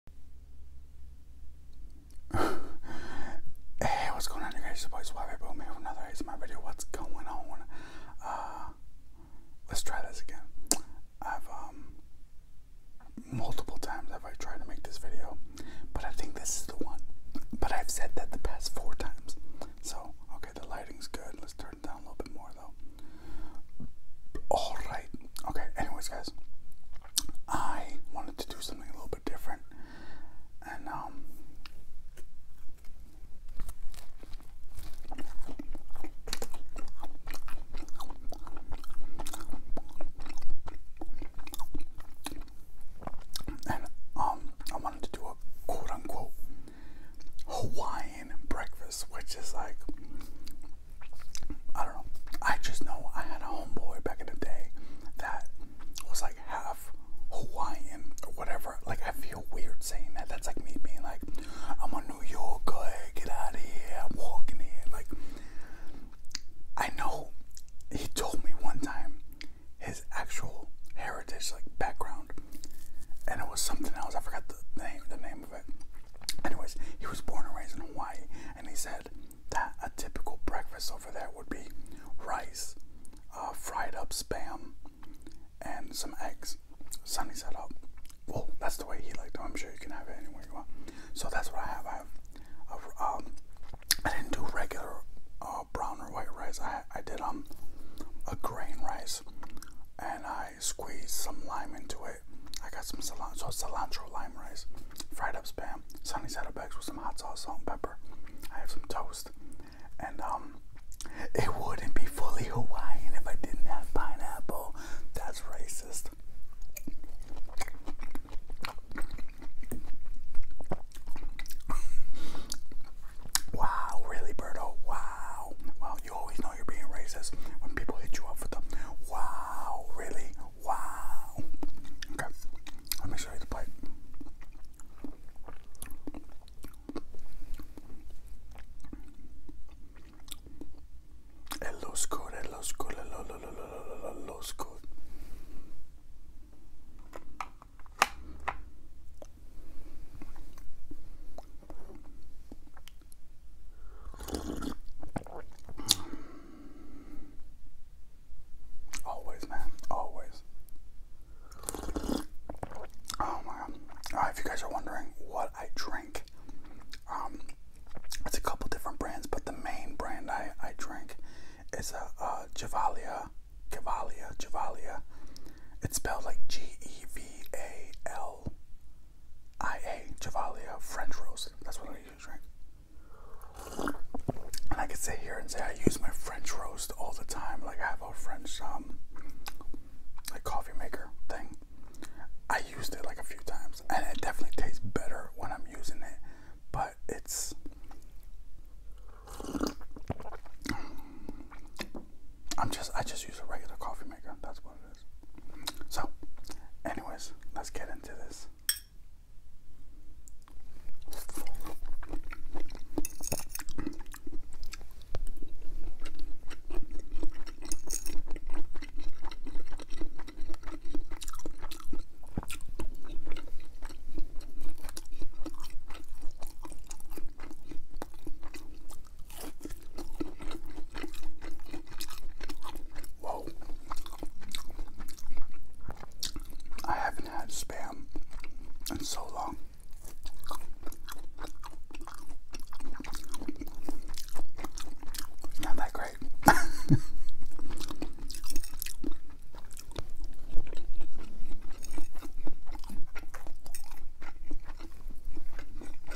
hey, what's going on, you guys? It's your boy Suave Boom here with another ASMR video. What's going on? Uh, let's try this again. I've, um, multiple times have I tried to make this video, but I think this is the one. But I've said that the past four times. So, okay, the lighting's good. Let's turn it down a little bit more, though. Alright. Okay, anyways, guys. I wanted to do something a little bit different, and um, um I wanted to do a quote unquote Hawaiian breakfast, which is like I don't know. I just know I had a homeboy back in the day that was like half Hawaiian or whatever. Like I feel weird saying that. That's like me being like, I'm a New Yorker, get out of here, I'm walking here. Like I know he told me one time his actual heritage, like background, and it was something else. I forgot the name the name of it. Anyways, he was born and raised in Hawaii and he said that a typical breakfast over there would be rice, uh, fried up spam, and some eggs. Sunny said, "Up, oh, that's the way he liked it. I'm sure you can have it anywhere you want." So that's what I have. I have, um, I didn't do regular uh, brown or white rice. I I did um a grain rice, and I Squeeze some lime into it. I got some cilantro, lime rice, fried up spam, sunny side up eggs with some hot sauce, salt, and pepper. I have some toast, and um, it wouldn't be fully Hawaiian if I didn't have pineapple. That's racist. wow, really, Berto? wow, you always know you're being racist when people hit you up with the wow, really? Wow. Okay, let me show you the plate. It looks good, it looks good, it lo, lo, lo, lo, lo, Always, man. Always. Oh my god. Uh, if you guys are wondering what I drink, um, it's a couple different brands, but the main brand I, I drink is a, a Javalia. Cavalia, Javalia. It's spelled like G E V A L IA Javalia French roast. That's what I use, And I could sit here and say I use my French roast all the time. Like I have a French um like coffee maker thing. I used it like a few times and it definitely tastes better when I'm using it. But it's I'm just I just use a regular coffee maker. That's what it is. So, anyways, let's get into this. Whoa. I haven't had spam in so long. Not that great.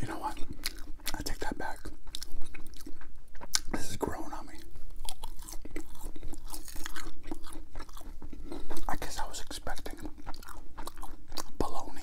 You know what? I take that back. This is growing on me. I guess I was expecting bologna.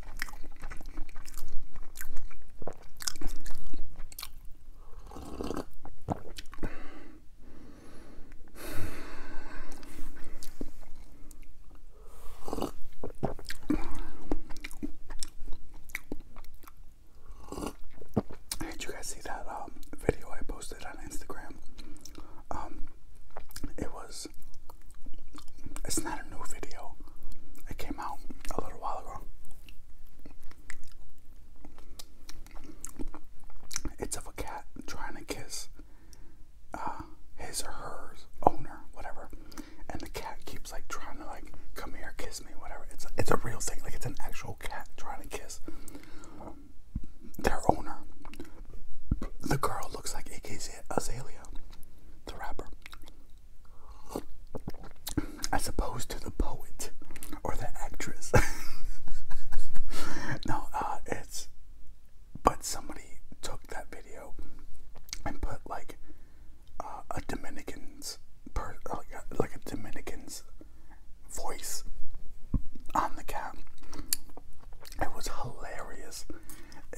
did you guys see that um, video I posted on Instagram? Um, it was it's not a new video. It came out a little while ago. It's of a cat trying to kiss uh, his or her owner, whatever, and the cat keeps like trying to like come here, kiss me, whatever. It's it's a real thing. Like it's an actual cat trying to kiss their owner. The girl looks like AKZ Azalea, the rapper. As opposed to the poet or the actress. no, uh, it's. But somebody took that video and put like uh, a Dominican's like a, Dominican's voice on the cap. It was hilarious.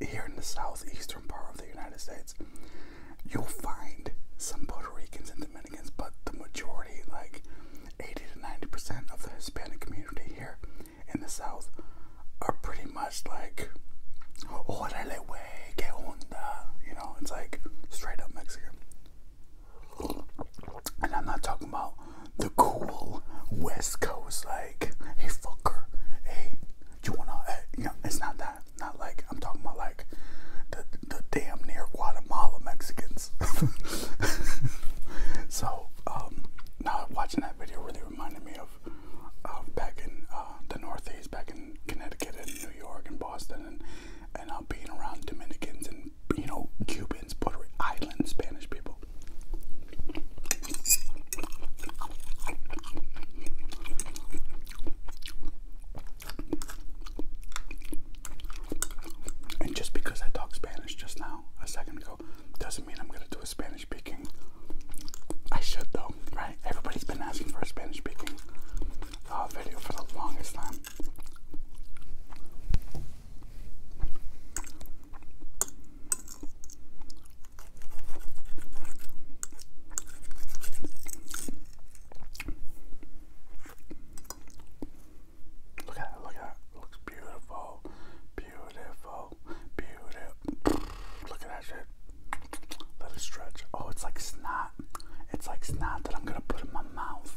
here in the southeastern part of the United States, you'll find some Puerto Ricans and Dominicans, but the majority, like 80 to 90 percent of the Hispanic community here in the South, are pretty much like, "Órale, wey, que onda," you know. It's like straight up Mexican, and I'm not talking about the cool West Coast, like, hey fucker, hey, you wanna, uh, you know, it's not that, not like, I'm talking about like the, the damn near Guatemala Mexicans. so, um, now watching that video really reminded me of, of back in uh, the Northeast, back in Connecticut and New York and Boston and, and uh, being around Dominicans and, you know, Cubans, Puerto Rican, island Spanish people. And just because I talked Spanish just now, a second ago, doesn't mean I'm gonna do a Spanish speaking. I should though, right? Everybody's been asking for a Spanish speaking uh, video for the longest time. Look at it, look at it. Looks beautiful. Beautiful. Beautiful. Look at that shit. Let it stretch. Oh, it's like snot. It's like snot that I'm gonna put in my mouth.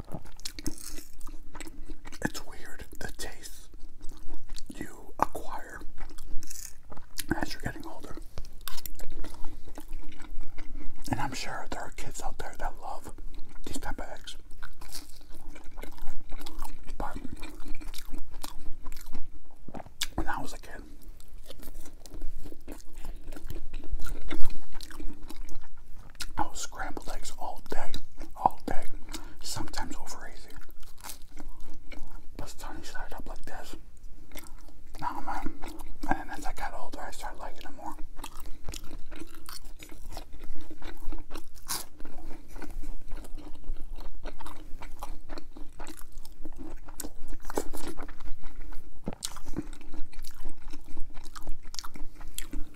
It's weird the taste you acquire as you're getting older. And I'm sure there are kids out there that love these type of eggs. But when I was a kid, I was scrambled eggs all day, all day, sometimes over easy. But sunny side up like this. Now man. And as I got older, I started liking them more. I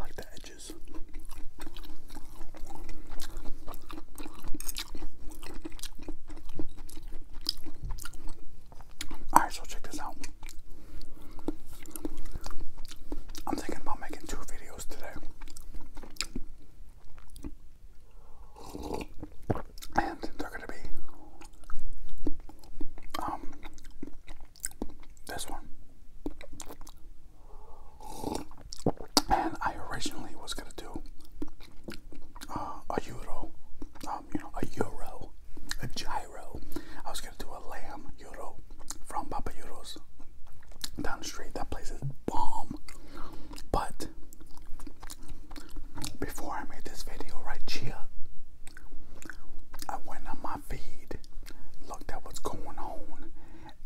like the edges. Alright, so check this out. I'm thinking about making two videos today. And they're gonna be um this one and I originally was gonna do uh, a euro, um, you know, a euro, a gyro. I was gonna do a lamb gyro from Papa Euros down the street. That place is bomb. But before I made this video, right, here, I went on my feed, looked at what's going on,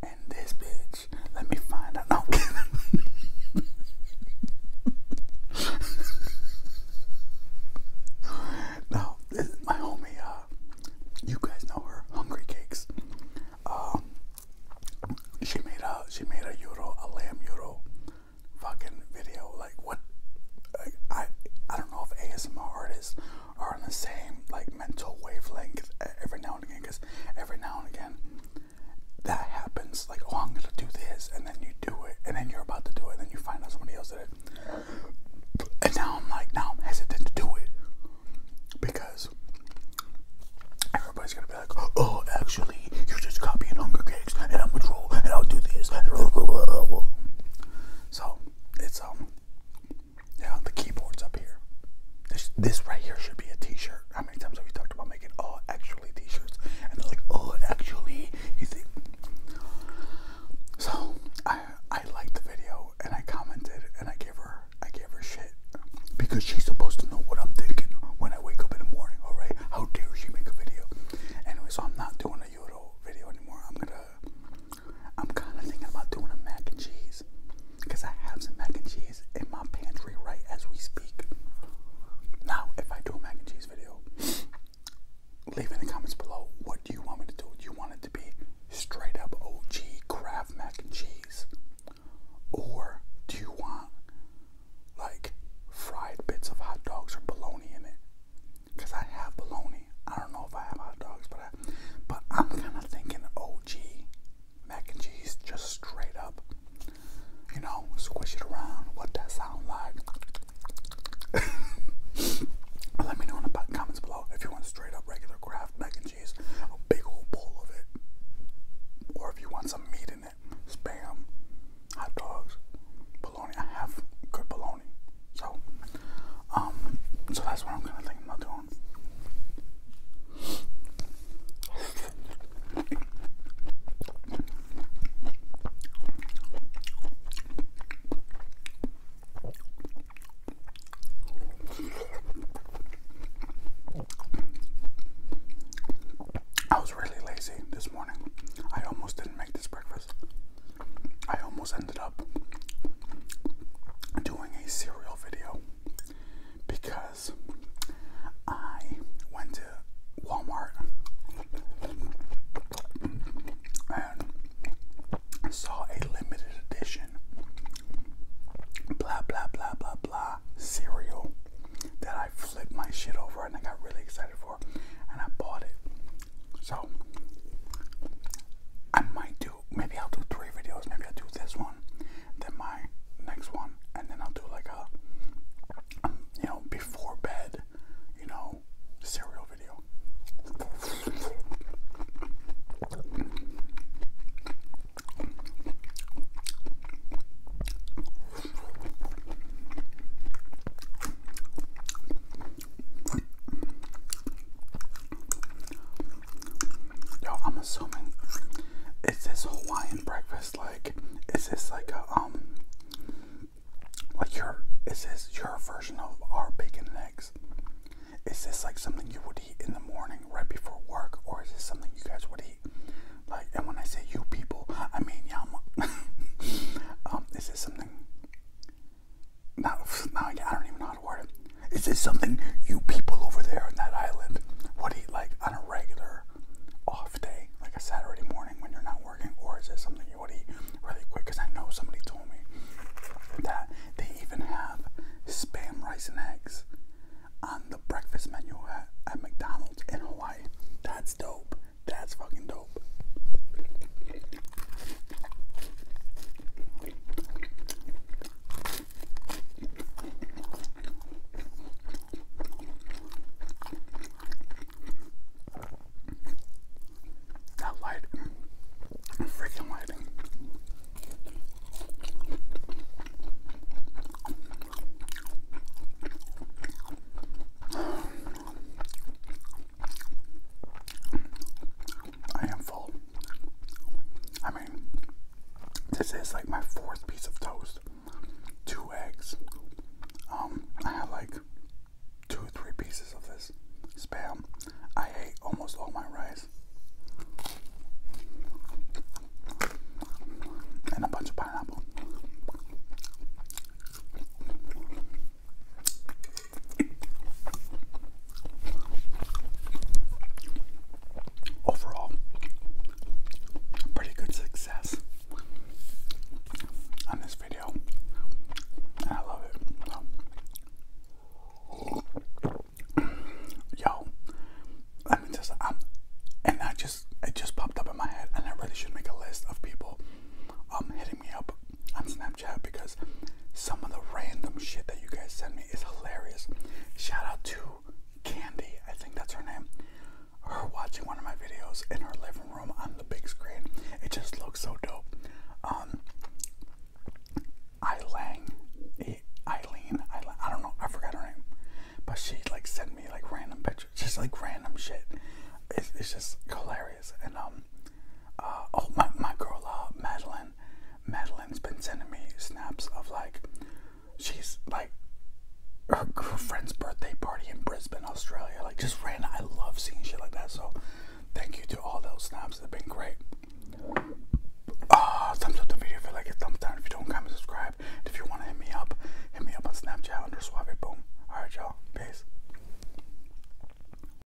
and this bitch, let me find out. No. no, this is my homie. Uh, you guys know her, Hungry Cakes. Um, she made a she made a euro, a lamb euro, fucking video. Like what? Like, I I don't know if ASMR artists are on the same like mental wavelength every now and again. Cause every now and again, that happens. Like, oh, I'm gonna do this, and then you do it, and then you're about to do it, and then you find out somebody else did it. And now I'm like, now I'm hesitant to do it because everybody's gonna be like, oh, actually, you're just copying Hunger Games, and I'm a troll, and I'll do this. So it's um, yeah, the keyboard's up here. This this right here should be a T-shirt how many times have we talked about making all actually t-shirts? And they're like, oh, actually, you think? So I I liked the video and I commented and I gave her I gave her shit because she's supposed to know what I'm thinking when I wake up in the morning. All right, how dare she make a video? Anyway, so I'm not doing a Euro video anymore. I'm gonna I'm kind of thinking about doing a mac and cheese. Because I have some mac and cheese in my pantry right as we speak. Now, if I do a mac and cheese video, leave in the comments below what do you want me to do? Do you want it to be straight up OG craft mac and cheese? Or do you want like fried bits of hot dogs or bologna in it? Because I have bologna. I don't know if I have hot dogs, but I, but I'm kind of thinking OG mac and cheese just straight up. You know, squish it around. What that sound like? Let me know in the comments below if you want straight up regular Kraft mac and cheese, a big old bowl of it, or if you want some meat in it, spam, hot dogs, bologna. I have good bologna, so um, so that's what I'm gonna think about doing. I was really lazy this morning. I almost didn't make this breakfast. I almost ended up doing a cereal video because I went to Walmart and saw a limited edition blah blah blah blah blah cereal that I flipped my shit over and I got really excited for and I bought it. So I might do maybe I'll do three videos. Maybe I'll do this one, then my next one, and then I'll do like a um, you know before bed, you know, cereal video. Yo, I'm assuming it's this Hawaiian breakfast like is this like a um like your is this your version of our bacon eggs? Is this like something you would eat in the morning right before work or is this something you guys would eat? Like and when I say you people, I mean yum. um, is this something now, now I don't even know how word it. Is this something you people over there on that island would eat like on a regular off day, like a Saturday morning when you're not working, or is this something you would eat really quick? Because I know somebody told me that they even have spam rice and eggs on the breakfast menu at, at McDonald's in Hawaii. That's dope. That's fucking dope. That lighting, freaking lighting. I am full. I mean, this is like my fourth piece of toast. Two eggs. Um, I had like two or three pieces of this spam. I ate almost all my rice. And a bunch of pineapple. Overall, pretty good success on this video. I love it. Yo, let me just um and I just it just popped up in my head I really should make a list of people um hitting me up on Snapchat because some of the random shit that you guys send me is hilarious. Shout out to Candy, I think that's her name. Her watching one of my videos in her living room on the big screen. It just looks so dope. Um, Eileen, Eileen, Eileen, I don't know, I forgot her name. But she like sent me like random pictures, just like random shit. It's, it's just hilarious. And um, uh, oh my my girl uh, Madeline, Madeline's been sending me snaps of like, she's like, her, girlfriend's birthday party in Brisbane, Australia. Like just ran. I love seeing shit like that. So thank you to all those snaps. They've been great. Uh, thumbs up the video if you like it, thumbs down if you don't, comment, subscribe. if you want to hit me up, hit me up on Snapchat under Suave Boom. Alright, y'all. Peace.